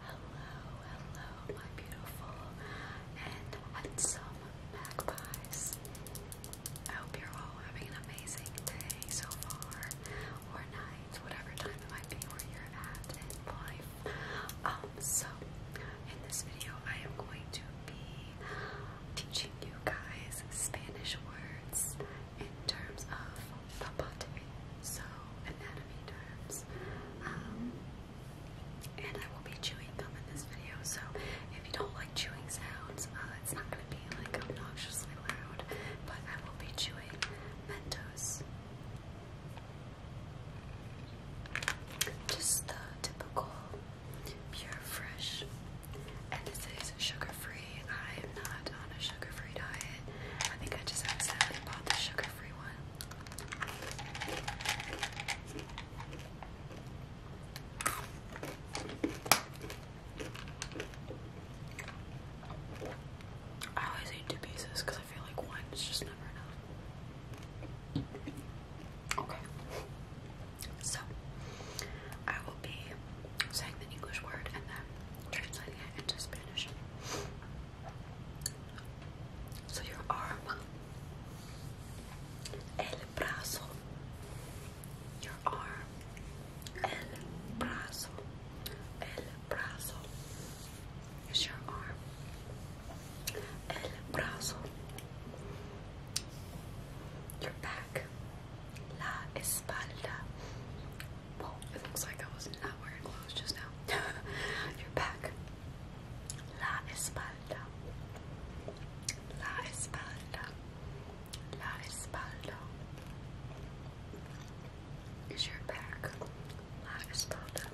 Hello, hello, my beautiful and handsome magpies. I hope you're all having an amazing day so far, or night, whatever time it might be where you're at in life. Um, so in this video, I am going to be teaching you guys Spanish words in terms of phlebotomy, so anatomy terms. Um, and I will be chewing gum in this video, so if you don't like chewing sounds, uh, it's not going to be like obnoxiously loud, but I will be chewing Mentos. Just the typical pure fresh. And this is sugar free. I'm not on a sugar free diet. I think I just accidentally bought the sugar free one I always eat two pieces because I feel like one is just never enough. Okay. So, I will be saying the English word and then translating it into Spanish. So your arm, el brazo, your arm, el brazo, el brazo is your arm, el brazo, your back, la espalda, it looks like I was not wearing clothes just now. you back. La espalda. La espalda. La espalda. Is your back? La espalda.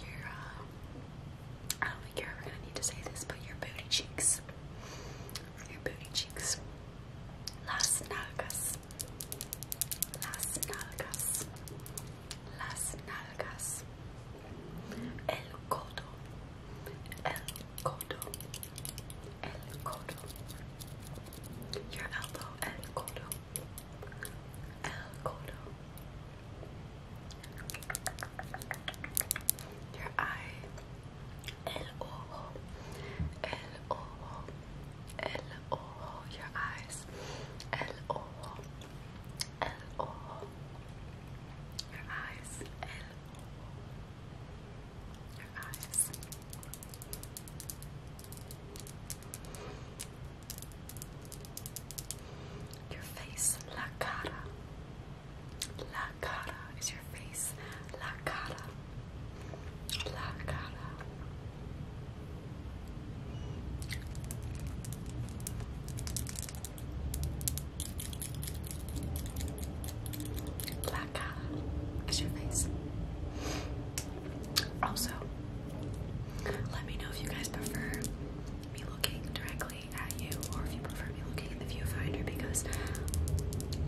Your, uh, I don't think you ever gonna need to say this, but your booty cheeks your booty cheeks. Las nalgas. Las nalgas. Las nalgas. El codo. El codo. El codo. Your elbow. El codo. El codo. Your eye. El your eyes, el your eyes, el your eyes. Your face, la cara, la La cara is your face. La cara. La cara. La cara is face. Also, let me know if you guys prefer me looking directly at you or prefer me looking at the viewfinder because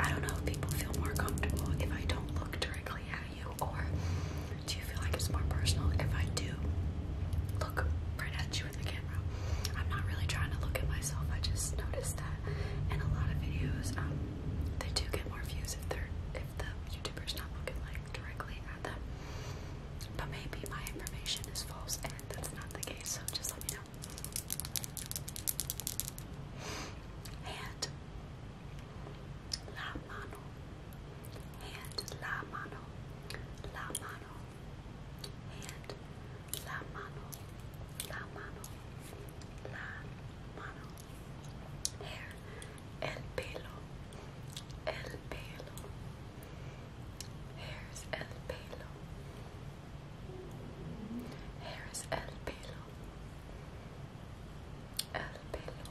I don't know if people feel more comfortable if I don't look directly at you, or do you feel like it's more personal if I do look right at you in the camera? I'm not really trying to look at myself, I just noticed that in a lot of videos, um, they do get more views if they're if the YouTuber's not looking like directly at them. But maybe my information is false and that's not the case, so just let me know. And La mano. Hand. La mano. La mano. Hand. La mano. La mano. La mano. Hair. El pelo. El pelo. Here's el pelo. Here is El Pelo. El Pelo.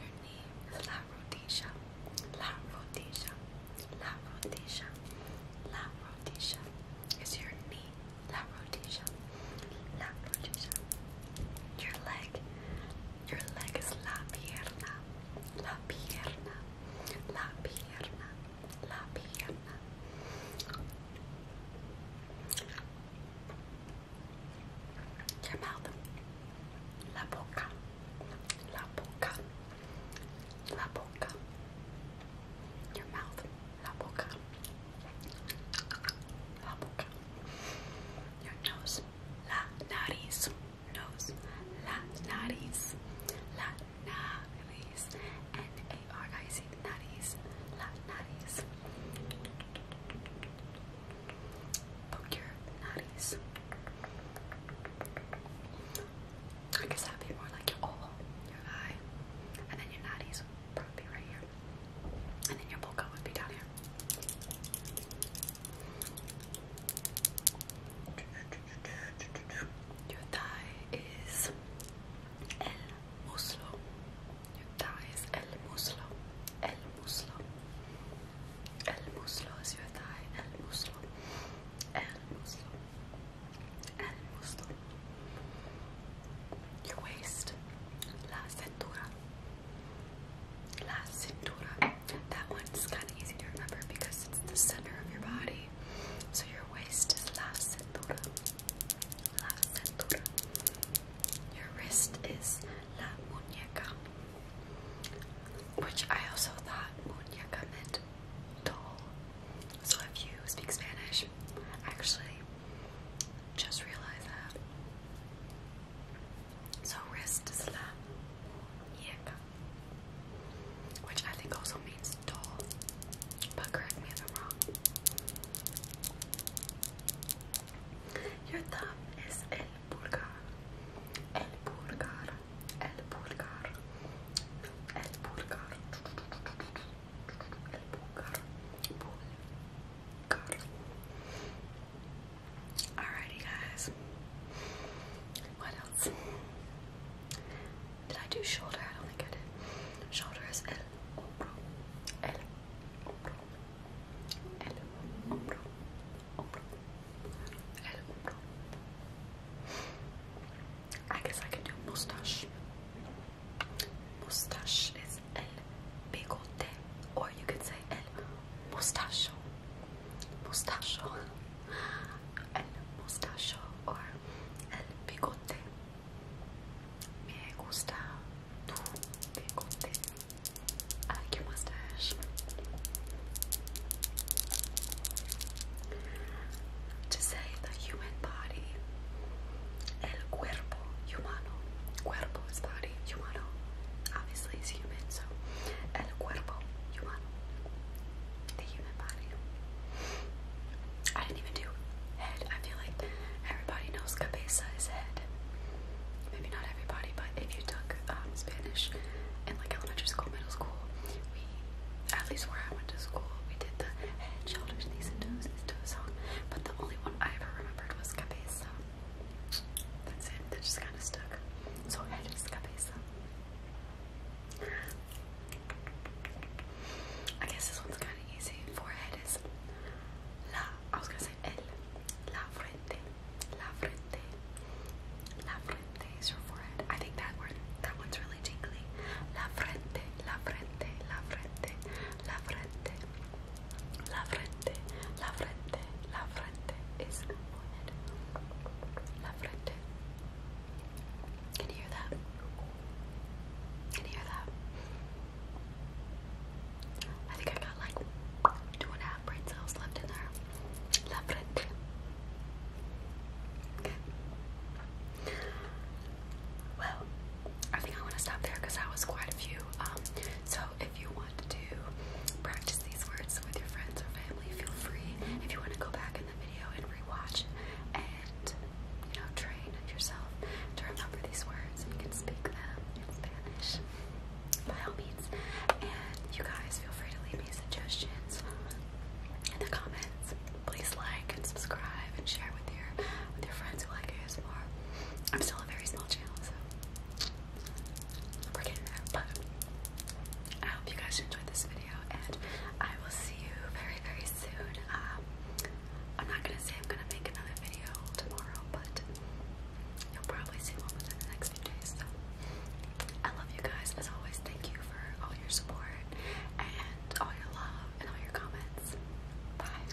Your knee is La Rodilla. La Rodilla. La Rodilla. La Rodilla. Is your knee. La Rodilla. La Rodilla. Your leg. Your leg is la pierna, la pierna, la pierna, la pierna. Your mouth, la boca, la boca, la boca. Your mouth, la boca, la boca. Your nose, la nariz, nose, la nariz, la nariz, N-A-R-I-Z, nariz, la nariz. Poke your nariz. I guess that'd be more like your oval, your eye, and then your nariz would probably be right here, and then your boca would be down here. Your thigh is el muslo. Your thigh is el muslo. El muslo. El muslo is your thigh. El muslo. El muslo. El muslo. Your waist. La cintura. La cintura. That one's kind of easy to remember because it's the center of your body. So your waist is la cintura. La cintura. Your wrist is la muñeca. Which I also thought muñeca meant doll. So if you speak Spanish, actually just realize that. So wrist is la which I think also means doll, but correct me if I'm wrong. Your thumb is el pulgar, el pulgar, el pulgar, el pulgar, el pulgar, pulgar. Alrighty, guys. What else? Did I do shoulder? I don't think I did. Shoulder is guess I can do mustache. Mustache is el bigote, or you could say el mustacho. Mustacho. El mustacho, or el bigote. Me gusta tu bigote. I like your mustache. To say the human body, el cuerpo humano. Cuerpo is body, humano obviously is human, so el cuerpo humano, the human body. I didn't even do head. I feel like everybody knows cabeza is head. Maybe not everybody, but if you took um, Spanish in like elementary school, middle school, we, at least where I went to school, we did the head, shoulders, knees, and toes, knees, toes song. But the only one I ever remembered was cabeza that's it, they just kind of stuck. So eres cabeza. I guess this one's kind of easy. Forehead is la. I was gonna say el. La frente. La frente. La frente is your forehead. I think that word, that one's really jingly. La frente. La frente. La frente. La frente. La frente. La frente, la frente, la frente is pointed. La frente. Can you hear that? Can you hear that? I think I got like two and a half brain left in there. La frente. Well, I think I want to stop there because that was quite a few. Um, so if you want to practice these words with your friends or family, feel free. If you want to go back in the video and rewatch and you know train yourself to remember these words, and you can speak them in Spanish by all means. And you guys feel free to leave me suggestions in the comments. Please like and subscribe and share with your with your friends who like ASMR. I'm still a very small channel, so we're getting there. But I hope you guys enjoyed this video, and I will see you very, very soon. Um, I'm not gonna say I'm gonna make another video tomorrow, but you'll probably see one within the next few days. So I love you guys as always. Thank you for all your support and all your love and all your comments. Bye.